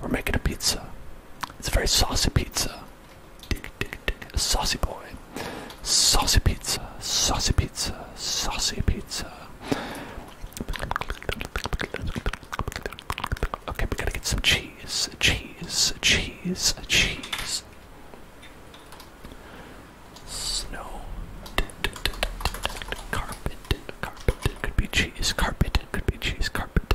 We're making a pizza. It's a very saucy pizza. Saucy boy. Saucy pizza. Saucy pizza. Saucy pizza. Okay, we gotta get some cheese. Cheese. Cheese. Cheese. Snow. Carpet. Carpet. Could be cheese. Carpet. Could be cheese. Carpet.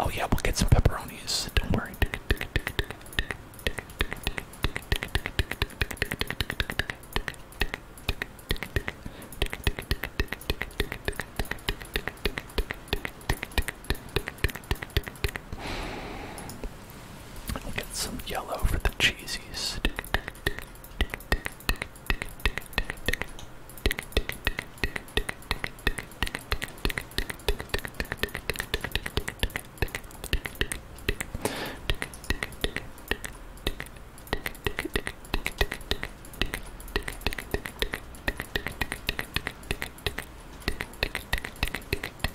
Oh, yeah, we'll get some pepperonis. Don't worry. I'll get some yellow for the cheesies.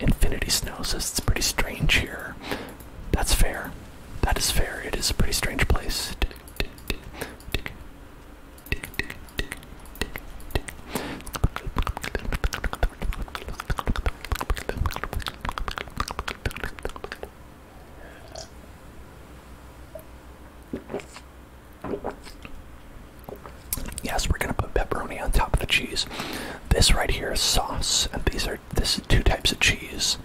Infinity Snow says it's pretty strange here. That's fair. That is fair. It is a pretty strange place. Yes, we're gonna put pepperoni on top of the cheese. This right here is sauce, and these are this is two types of cheese.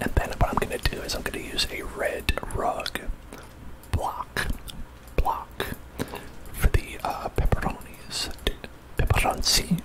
And then what I'm gonna do is I'm gonna use a red rug block block for the uh, pepperonis, pepperoncinis.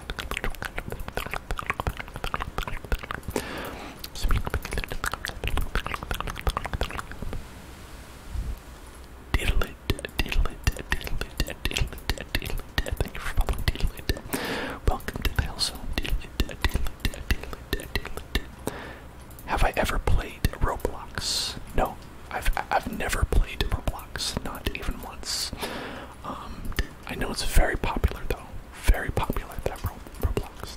Diddle it, diddle it, diddle it, diddle it, diddle you for following diddle it. Welcome to the hellzone. Diddle Have I ever played Roblox? No, I've I've never played Roblox, not even once. Um, I know it's very popular though. Very popular that Ro Roblox.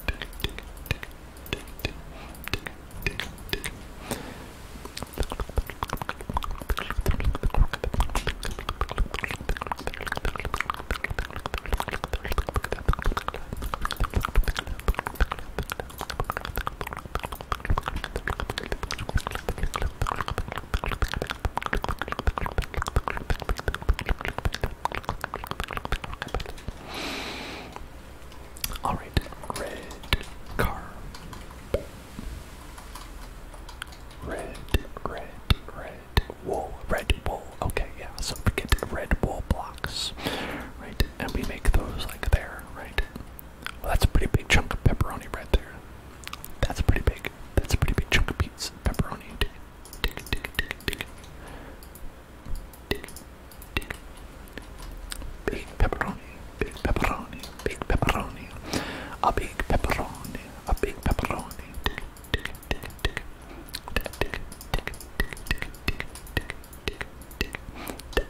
All right, red car. Red, red, red wool, red wool. Okay, yeah. So we get red wool blocks, right? And we make those like there, right? Well, that's a pretty big chunk of pepperoni right there. That's pretty big. That's a pretty big chunk of pizza pepperoni. Dig it, dig it, dig it, dig it, dig it. Dig it, Big pepperoni, big pepperoni, big pepperoni. A big pepperoni, a big pepperoni. Dig it, dig it, dig it, dig it. Dig it, dig it, dig it, dig it, dig it, dig it. Dig,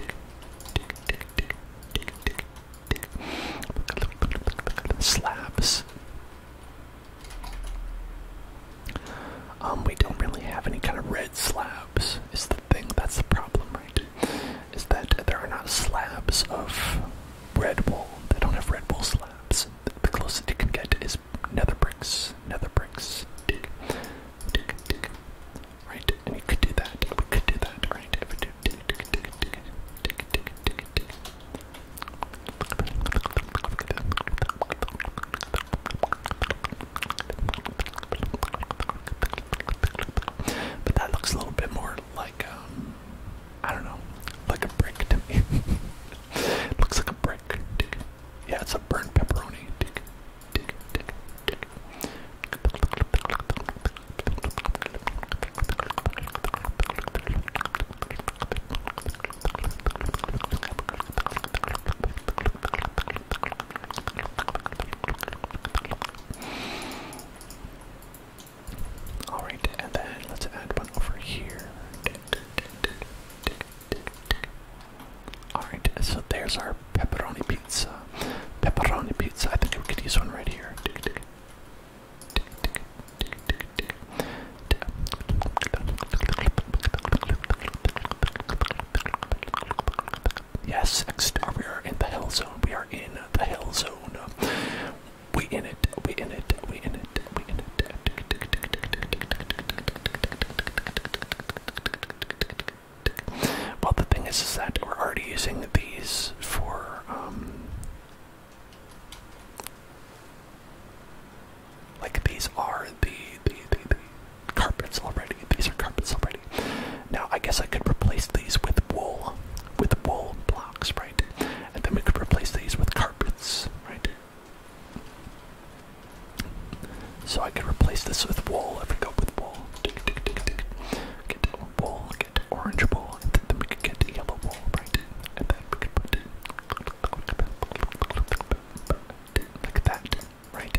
dig, dig, dig, dig, dig, dig, dig, slabs. Um, we don't really have any kind of red slabs. Is the thing that's the problem, right? Is that there are not slabs of red wool? They don't have red wool slabs. The closest you can get is nether bricks. Nether bricks right? could do that. could do that, right? If we do but that looks a little bit more like I don't know, like a brick to me. it looks like a brick. Yeah, it's a burnt pepperoni. All right, and then let's add one over here. All right, so there's our pepperoni pizza. Pepperoni pizza. I think we could use one right here. Yes, X-Star, we are in the hell zone. We are in the hell zone. We in it, we in it, we in it, we in it. Well, the thing is, is that we're already using these for um, like these are the the, the, carpets already. These are carpets already. Now I guess I could replace these with wool, with wool blocks, right? And then we could replace these with carpets, right? So I could replace this with wool if we go with wool, get orange ball, and then we could get yellow ball, right? And then we could put it like that, right?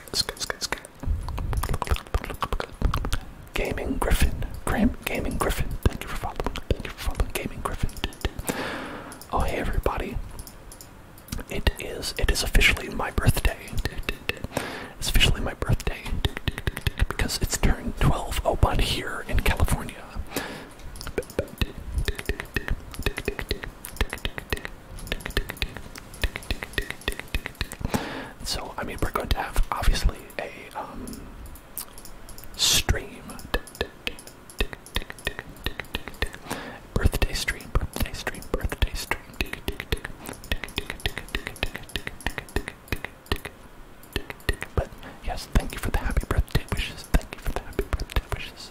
Gaming Griffin. Graham Gaming Griffin. Thank you for following. Thank you for following Gaming Griffin. Oh hey everybody. It is it is officially my birthday. It's officially my birthday. Because it's turned 12 Oh 01 here in California. So, I mean, we're going to have obviously a um, stream. Birthday stream, birthday stream, birthday stream. But yes, thank you for the happy birthday wishes. Thank you for the happy birthday wishes.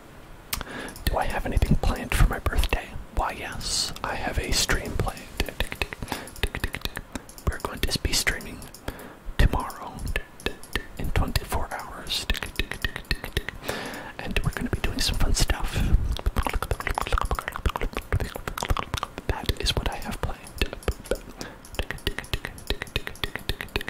Do I have anything planned for my birthday? Why, yes, I have a stream planned. We're going to be streaming tomorrow in 24 hours. And we're going to be doing some fun stuff. That is what I have planned.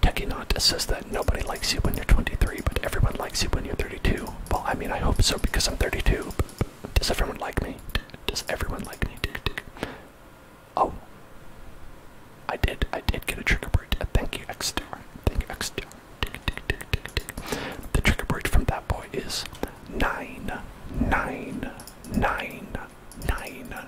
Techinot says that nobody likes you when you're 23, but everyone likes you when you're 32. Well, I mean, I hope so because I'm 32. Does everyone like me? Does everyone like me? Oh, I did. I did get a trigger word. Thank you, Xstar. Thank you, Xstar. The trigger word from that boy is nine, nine, nine, nine,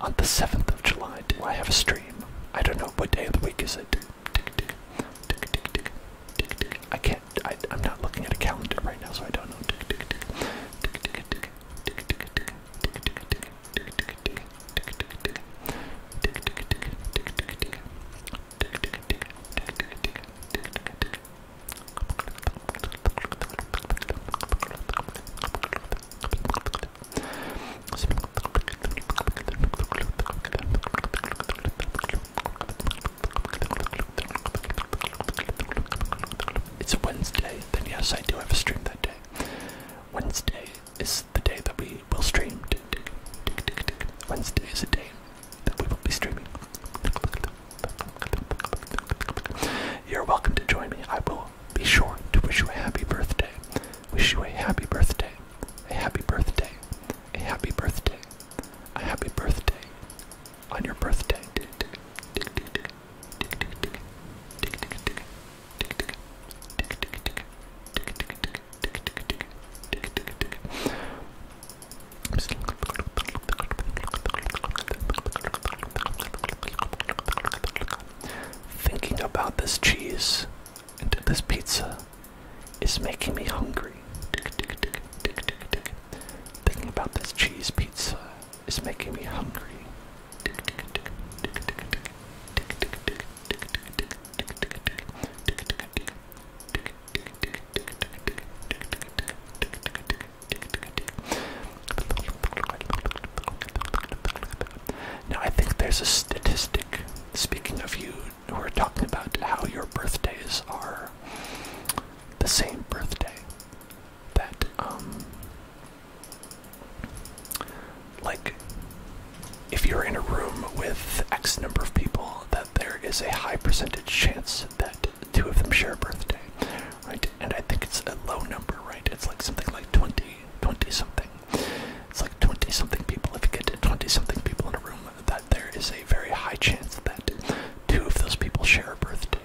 On the 7th of July, do I have a stream? I don't know, what day of the week is it? I can't, I, I'm not looking at a calendar right now, so I don't know. It's Wednesday, then yes, I do have a stream that day. Wednesday is the day that we will stream. Wednesday is a day that we will be streaming. You're welcome to join me. I will be sure to wish you a happy birthday. Wish you a happy birthday. A happy birthday. A happy birthday. A happy birthday. On your birthday. Thinking about this cheese and this pizza is making me hungry. Thinking about this cheese pizza is making me hungry. Now, I think there's a statistic, speaking of you, who are talking about how your birthdays are the same birthday. That, um, like, if you're in a room with X number of people, that there is a high percentage chance that two of them share a birthday, right? And I think it's a low number, right? It's like something like 20, 20 something. It's like 20 something people. If you get to 20 something people in a room, that there is a very high chance that two of those people share a birthday.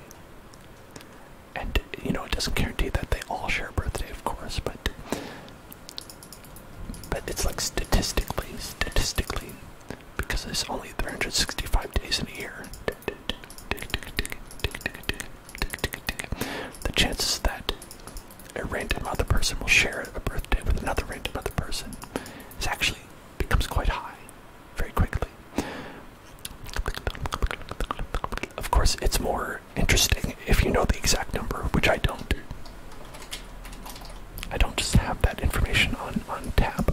And, you know, it doesn't guarantee that they all share a birthday, of course, but. But it's like statistically, statistically, because there's only 365 days in a year. The chances that a random other person will share a birthday with another random other person is actually becomes quite high very quickly. Of course, it's more interesting if you know the exact number, which I don't. I don't just have that information on on tap.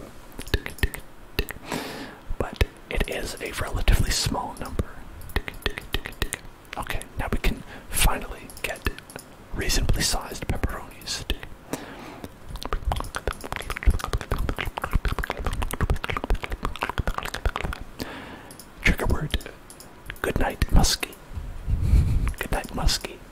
But it is a relatively small number. Okay, now we can finally get reasonably sized pepperonis. Trigger word. Good night, muskie. Good night, muskie.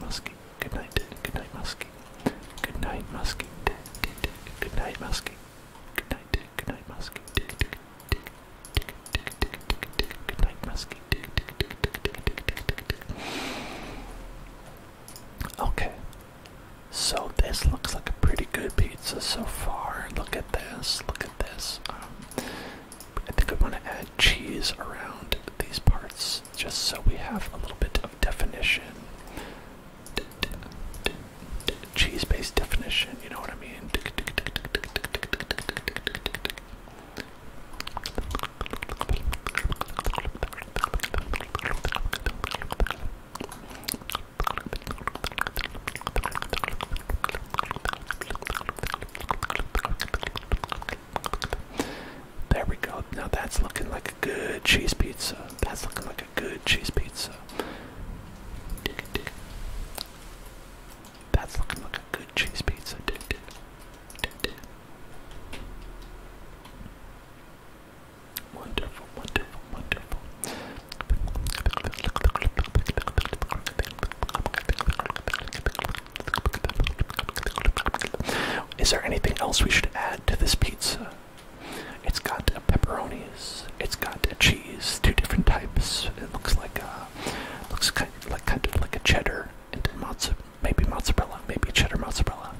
Muskie. Good night. Good night, Muskie. Good night, Muskie. Good night, Muskie. Good night. Good night, Muskie. Good night, Muskie. Okay. So this looks like a pretty good pizza so far. Look at this. Look at this. Um, I think I want to add cheese around these parts just so we have a little bit of definition. cheese based definition, you know what I mean? There we go. Now that's looking like a good cheese pizza. That's looking like a good cheese pizza. That's looking like a good cheese pizza. Dig, dig. Dig, is there anything else we should add to this pizza? It's got pepperonis. It's got cheese, two different types. It looks like a, uh, looks kind of like kind of like a cheddar and mozzarella. maybe mozzarella, maybe cheddar mozzarella.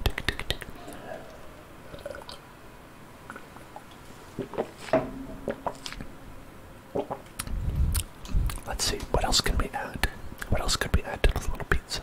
Let's see, what else can we add? What else could we add to this little pizza?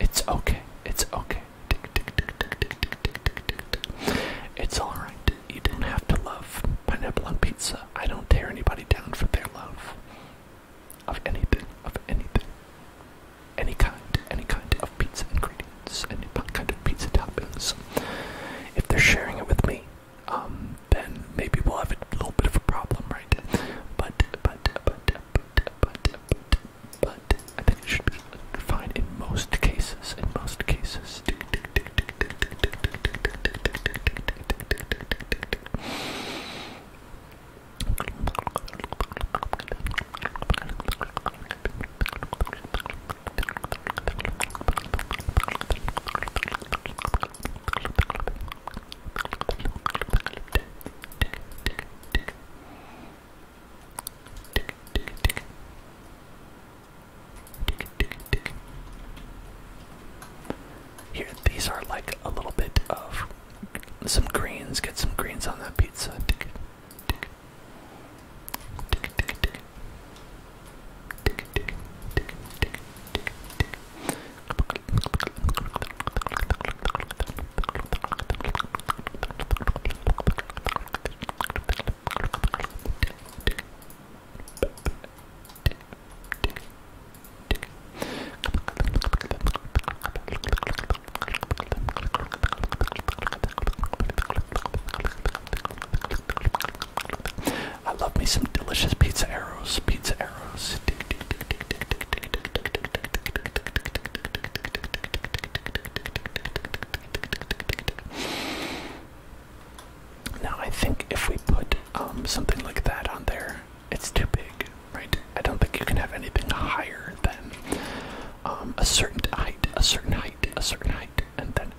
It's okay. It's okay. It's alright. You don't have to love pineapple on pizza. I don't tear anybody down for their love of anything, of anything. Any kind, any kind of pizza ingredients, any kind of pizza toppings. If they're sharing it with me, um, then maybe we'll have a little bit of a problem, right? But, but, but, but, but, but, but, but I think it should be in most cases. In most cases. Tick, tick, tick. Tick, tick, tick. Here, these are like a little bit of some greens. Get some greens on that pizza. Tick, tick. Tick, tick, tick. Tick, tick, tick, tick, tick, tick. I love me some delicious pizza arrows, pizza arrows. Now I think if we put um, something like that on there, it's too big, right? I don't think you can have anything higher than um, a certain height, a certain height, a certain height, and then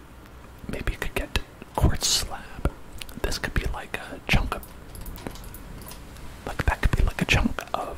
maybe you could get quartz slab. This could be like a chunk of, like that could be like a chunk of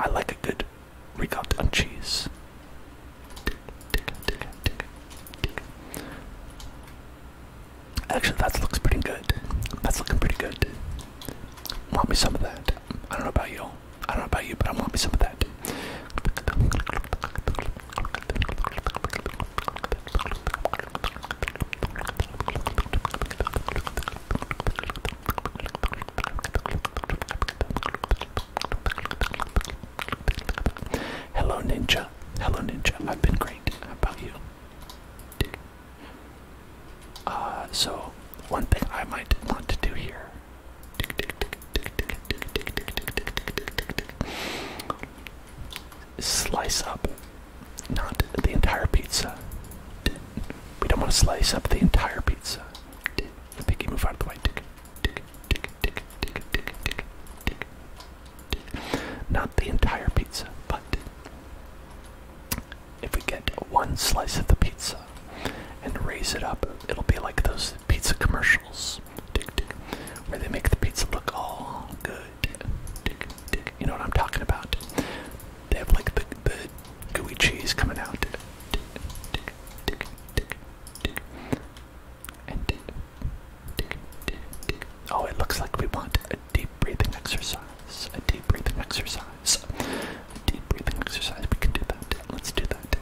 I like a good ricotta on cheese. Actually, that looks pretty good. That's looking pretty good. Want me some of that? I don't know about you. I don't know about you, but I want me some of that. Hello, Ninja. Hello, Ninja. I've been great. How about you? Uh, so, one thing I might want to do here slice up not the entire pizza. We don't want to slice up the entire pizza. Piggy, move out of the way. Tick, tick, tick, tick, tick, tick, tick, tick. Not the entire pizza, but if we get one slice of the pizza and raise it up, it'll be like those pizza commercials tick, tick, where they make the pizza look all good. Tick, tick. You know what I'm talking about? they have like the, the gooey cheese coming out. oh, it looks like we want a deep breathing exercise. A deep breathing exercise. A deep breathing exercise. We can do that. Let's do that.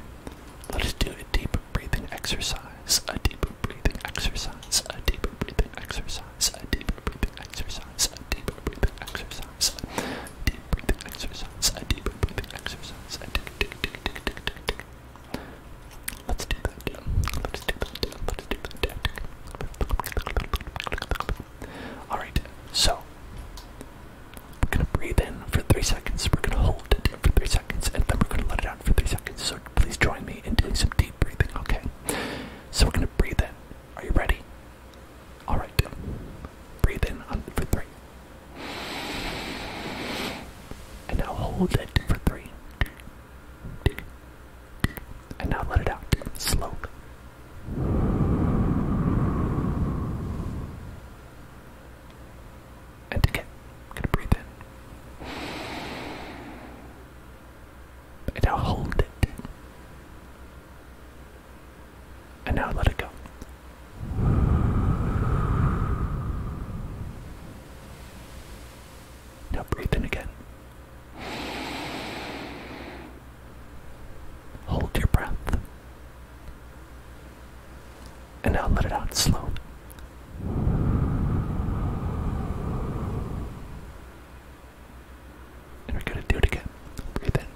Let us do a deep breathing exercise. A deep breathing exercise. A deep breathing exercise. A deep breathing exercise deep breathing exercise, deep breathing exercise, deep breathing exercise. Let's do that. Let's do that. Let's do that. All right. So we're gonna breathe in for three seconds. We're gonna hold it for three seconds, and then we're gonna let it out for three seconds. So please join me in doing some deep breathing. Okay. So we're gonna breathe in are you ready? Alright. Breathe in for three. And now hold it for three. And now let it out slowly. And again, gonna breathe in. And now hold it. And now let it go. Now breathe in again. Hold your breath. And now let it out slow. And we're gonna do it again. Breathe in.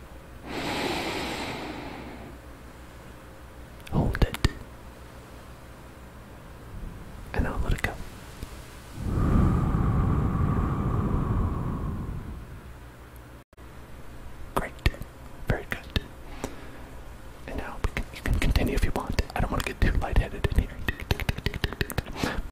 Hold it. And now let it go. Great. Very good. And now you can continue if you want. I don't want to get too lightheaded in here.